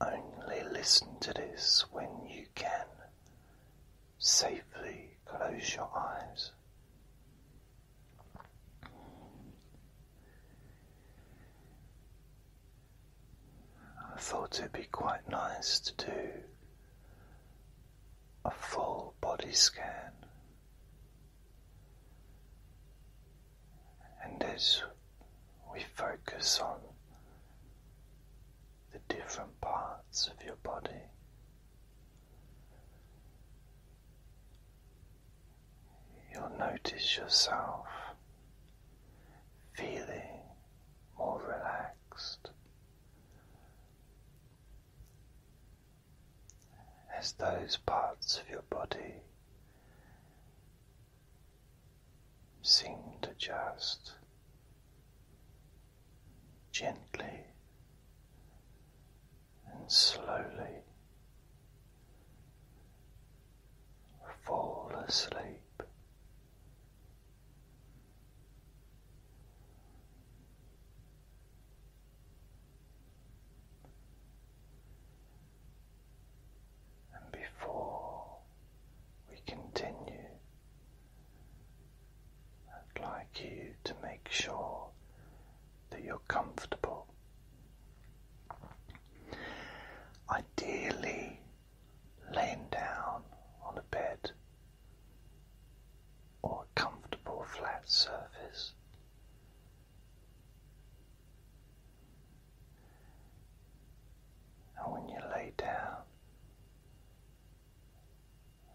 only listen to this when you can safely close your eyes. I thought it'd be quite nice to do a full body scan, and as we focus on the different parts of your body. You'll notice yourself feeling more relaxed as those parts of your body seem to just gently and slowly fall asleep. And before we continue I'd like you to make sure that you're comfortable. Ideally, laying down on a bed or a comfortable flat surface. And when you lay down,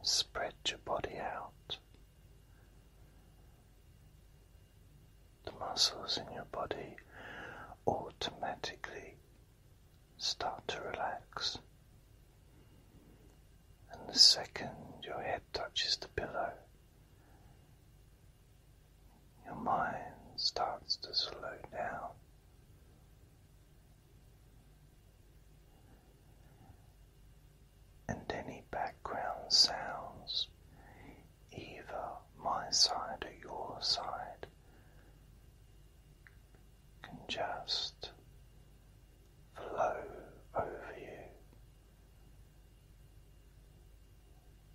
spread your body out. The muscles in your body automatically start to relax. And the second your head touches the pillow, your mind starts to slow down and any background sounds, either my side or your side, can just flow over you.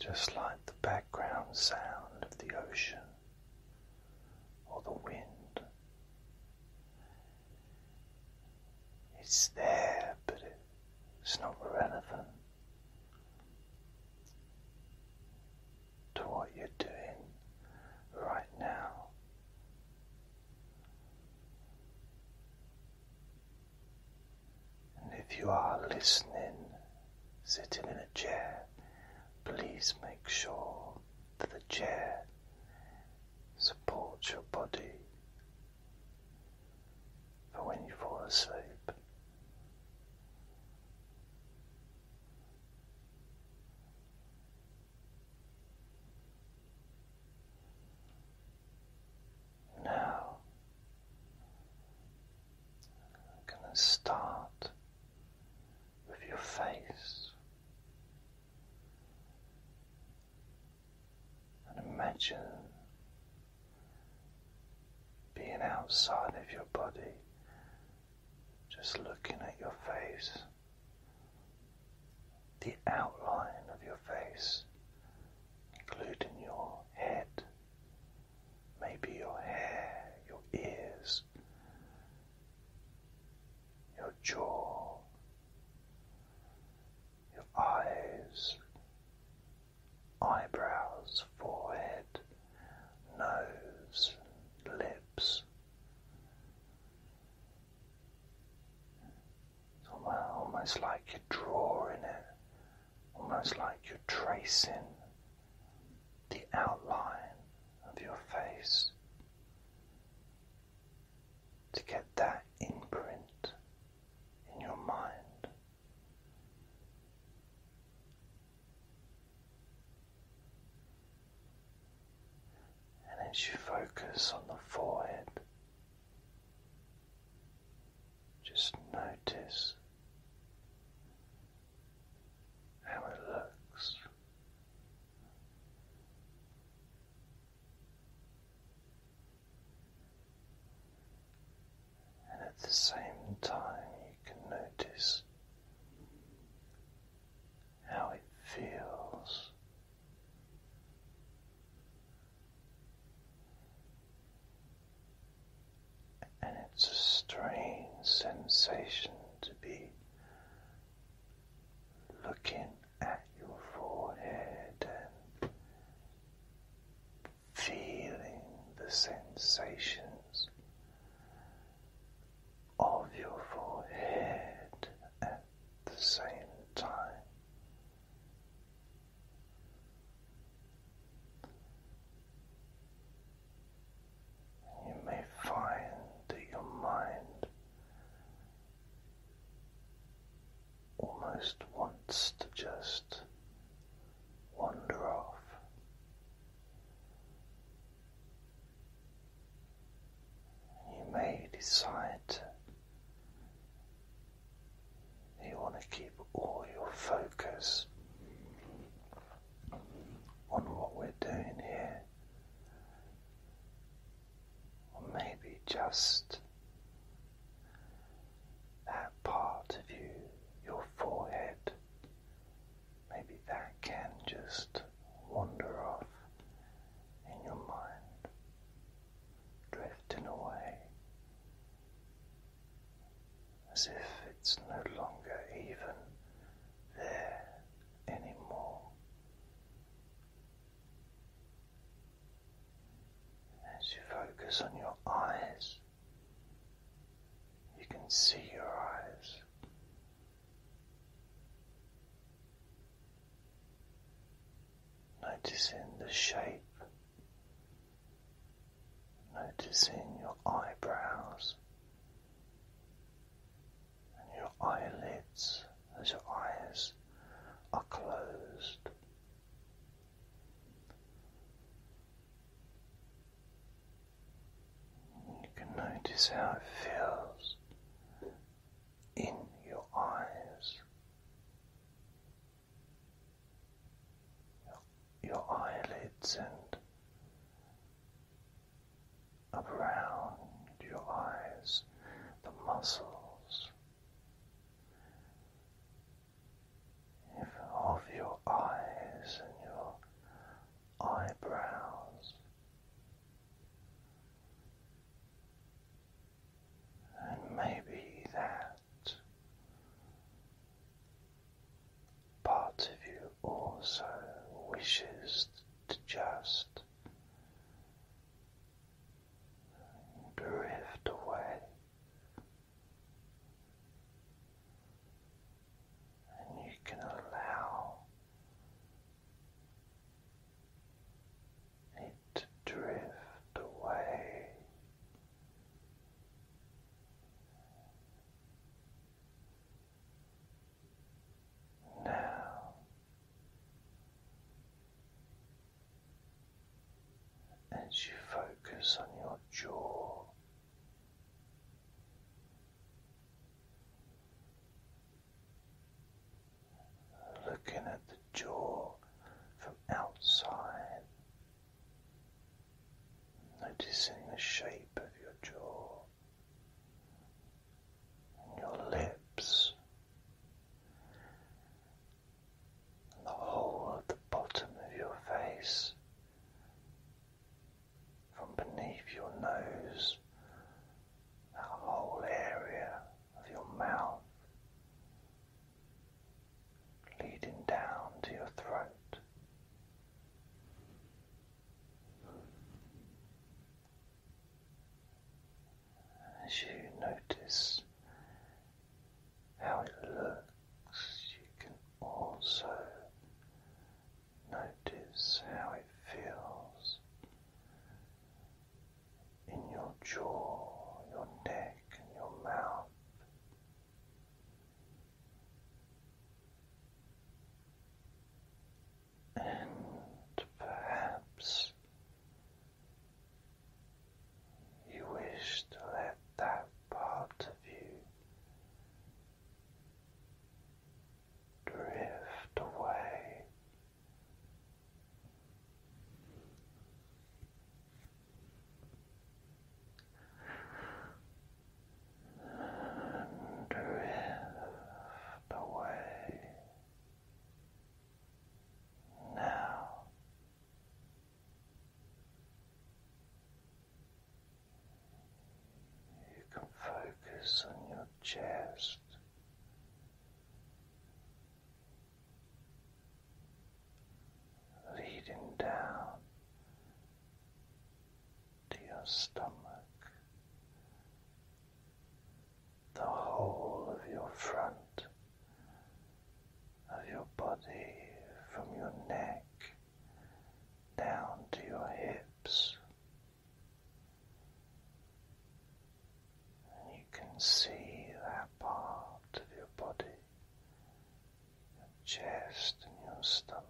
Just like the background sound of the ocean or the wind. It's there, but it's not relevant to what you're doing right now. And if you are listening, sitting in a chair, Please make sure that the chair supports your body for when you fall asleep. Now I'm going to start with your face. And imagine being outside of your body, just looking at your face, the outline of your face, including your head, maybe your hair, your ears, your jaw, your eyes, eyebrows, forehead, nose, lips. It's almost like you're drawing it, almost like you're tracing the outline of your face to get that imprint in your mind. And as you focus on the forehead, just notice how it looks. And at the same time, you can notice how it feels. And it's a strange sensation to be looking at your forehead and feeling the sensations of your forehead at the same time. You may find that your mind almost wants to just wander off. You may decide you want to keep all your focus on what we're doing here, or maybe just that part of you, your forehead, maybe that can just wander off in your mind, drifting away. As if it's no longer even there anymore. As you focus on your eyes, you can see your eyes. Noticing the shape, noticing your eyebrows, and your eyelids as your eyes are closed. You can notice how it feels in your eyes. Your, eyelids and around your eyes, the muscles of your eyes and your eyebrows. And maybe that part of you also wishes to just drift away. And you can allow it to drift away now as you focus on your jaw. Looking at the jaw from outside, noticing the shape of your jaw, your lips, and the whole of the bottom of your face, from beneath your nose, that whole area of your mouth, leading down to your throat. As you notice how it looks, you can also notice how it feels in your jaw, your neck, and your mouth and perhaps you wish to let that part of you drift away drift away now. You can focus on your chest. Leading down to your stomach, the whole of your front, of your body, from your neck down to your hips. And you can see that part of your body, your chest and your stomach.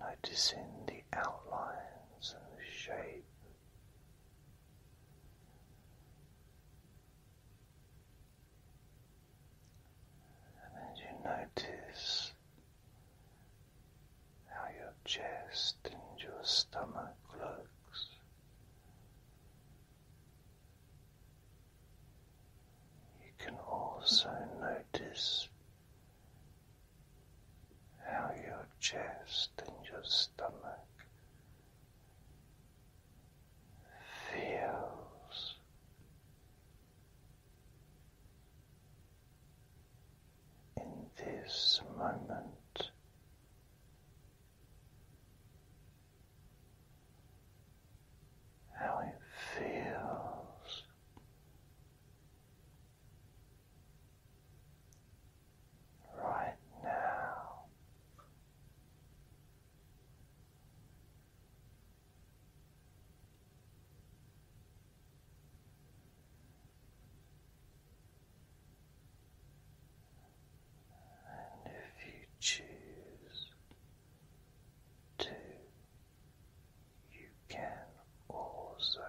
Noticing the outlines and the shape. And then you notice how your chest and your stomach looks. You can also notice how your chest and your stomach feels. In this moment, how it feels right now. And if you choose to you can also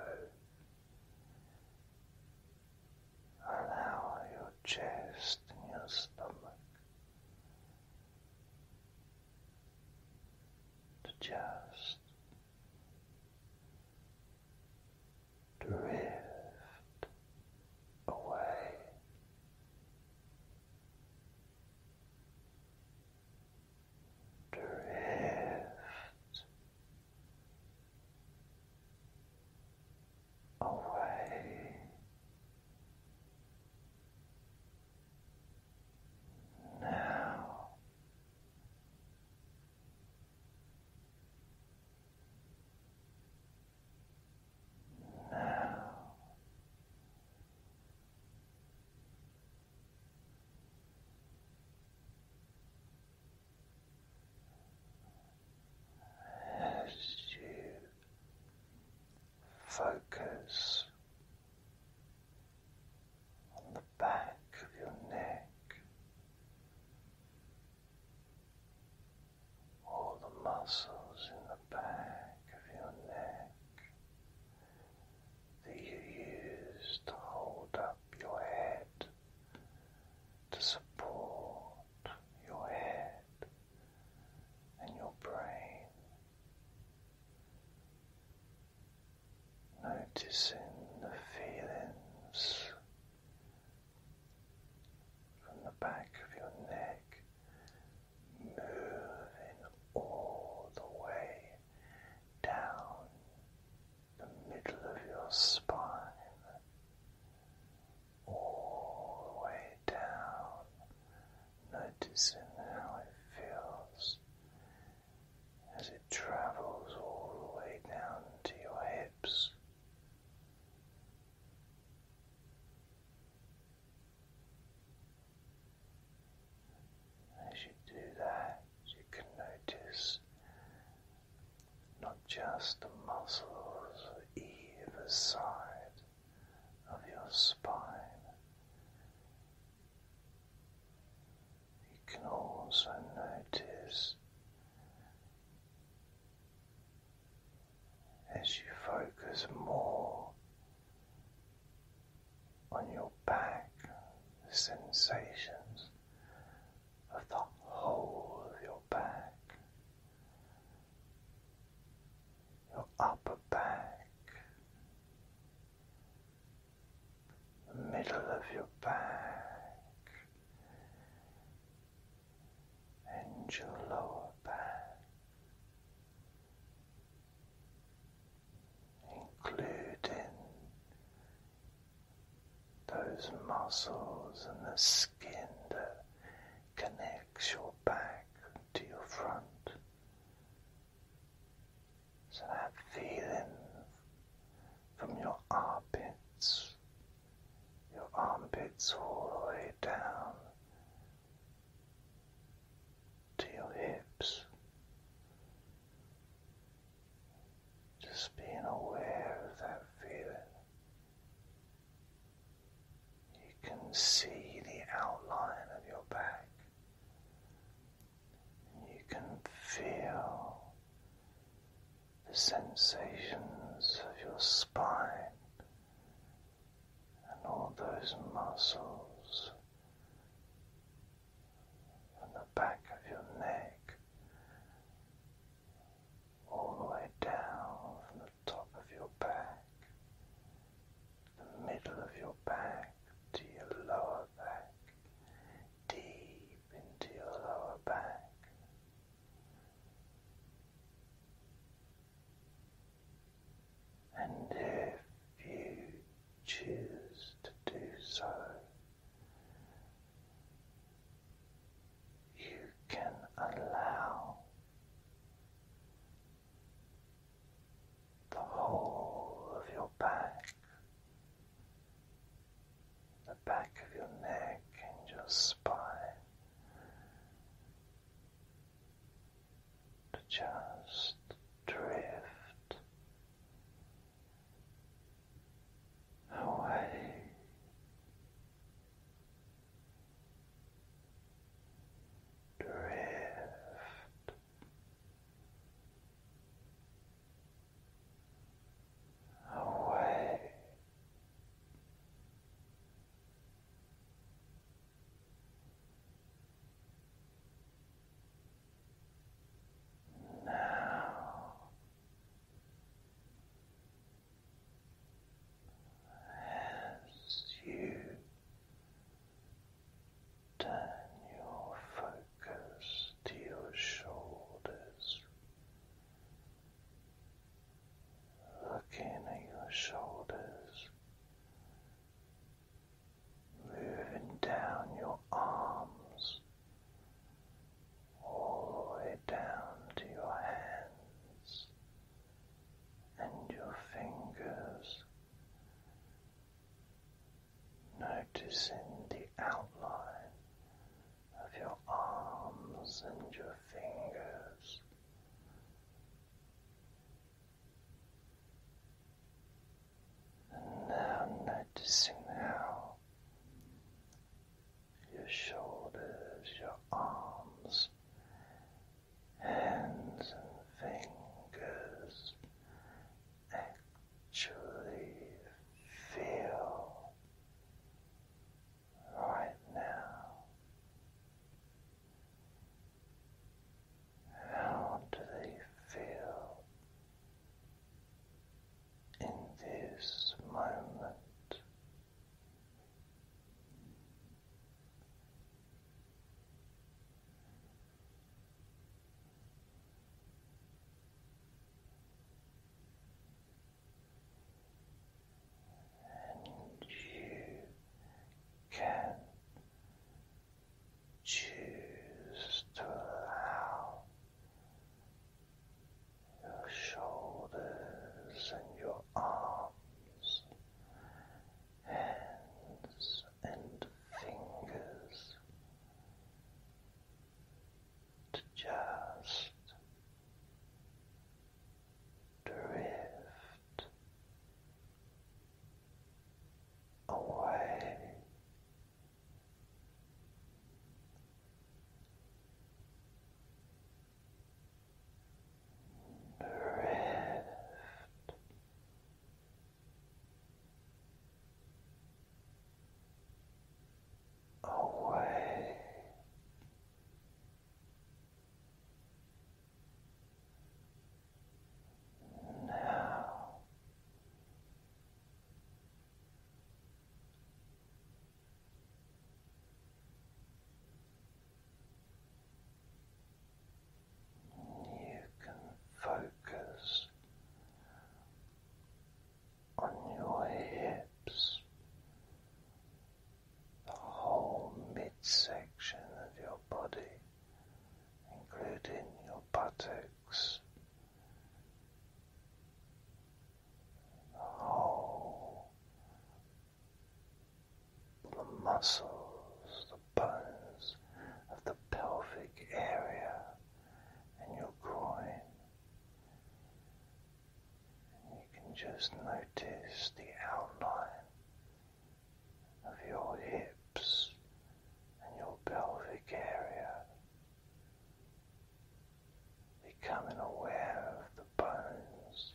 allow your chest and your stomach to just drift away drift away. Now now as you focus on the back of your neck. All the muscles in the back of your neck that you use to hold up your head, to support your head and your brain. Noticing the feelings from the back of your neck moving all the way down the middle of your spine, all the way down, noticing how it feels as it travels all the way down to your hips. As you do that, you can notice not just the muscles either side of your spine, you can also notice. As you focus more on your back, the sensations of the whole of your back, your upper back, the middle of your back, and your lower back including those muscles and the skin that connects your back to your front. So have feelings from your armpits, your armpits all the way down to your hips. Just being aware of that feeling. You can see the outline of your back. You can feel the sensations of your spine and all those muscles and the back of your neck, all the way down from the top of your back, the middle of your back to your lower back, deep into your lower back. And if you choose to do so, you can allow the whole of your back, the back of your neck and your spine to just drift away. Drift away. Now as you turn your focus to your shoulders, looking at your shoulders moving down your arms, all the way down to your hands and your fingers, noticing the outline of your arms and your fingers. And now noticing how your shoulders, your arms, hands and fingers actually feel right now. How do they feel in this moment? And you can Choose to allow your shoulders and your arms, hands and fingers to just drift away. Drift. Away now you can focus on your hips, the whole midsection of your body including your buttocks, the whole, the muscles, the bones of the pelvic area and your groin. you can just notice the outline of your hips and your pelvic area, becoming aware of the bones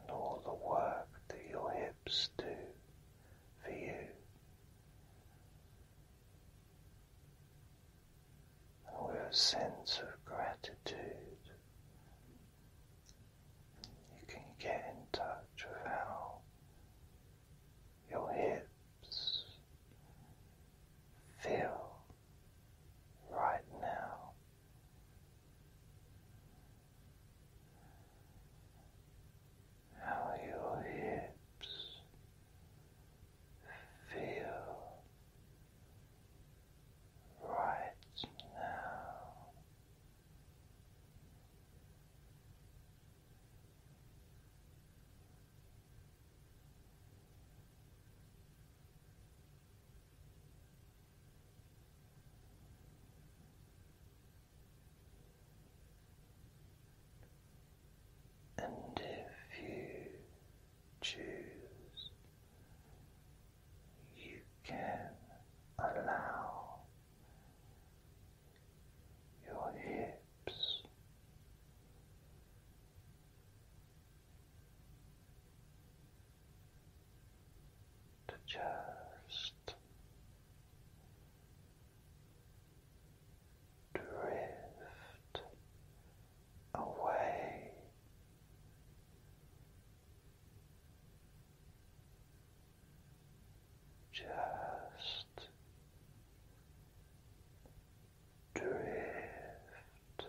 and all the work that your hips do for you. And with a sense of gratitude you can get in touch with how your hips feel right now. How your hips feel right now. And if you choose, you can allow your hips. To just drift away just drift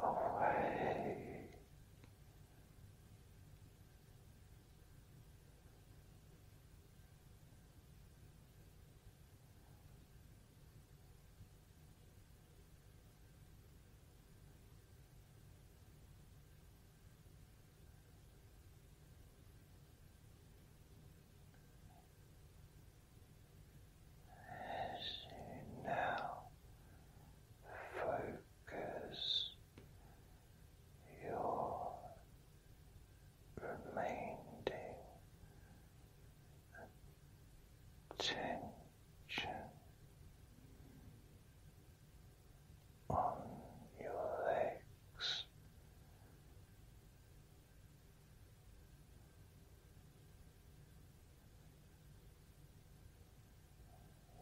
away. As you now focus your remaining tension on your legs.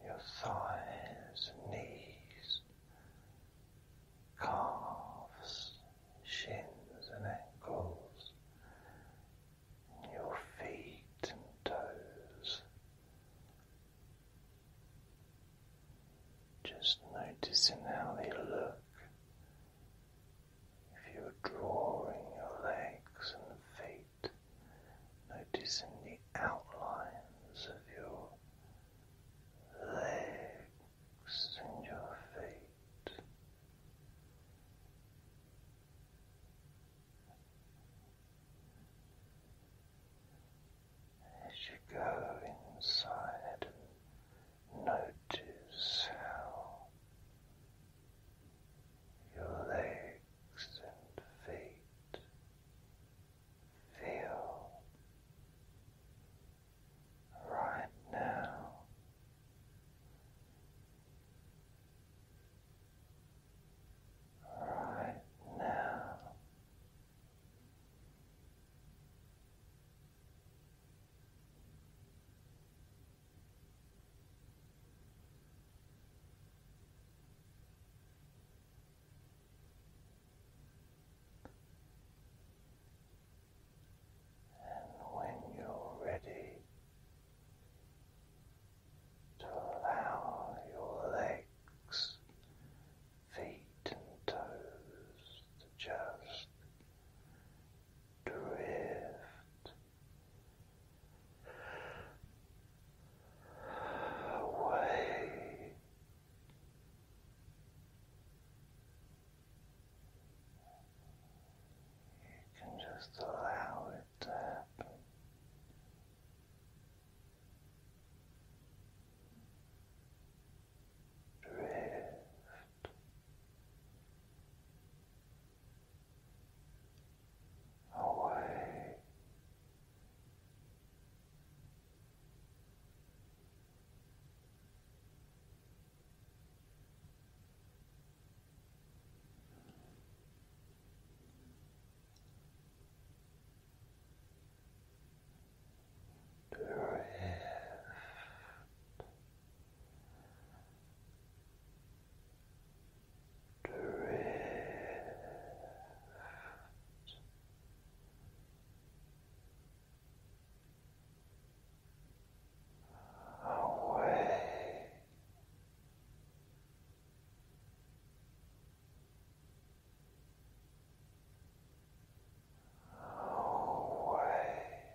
Your thighs and knees, calves, shins and ankles, your feet and toes. Just noticing how they look. If you're drawing your legs and feet, noticing the outlines of your legs and your feet. As you go inside notice how your legs and feet feel right now right now. And when you're ready, to allow your legs, feet, and toes to just drift away. You can just allow it that to happen. Drift away. Drift Drift away away. away.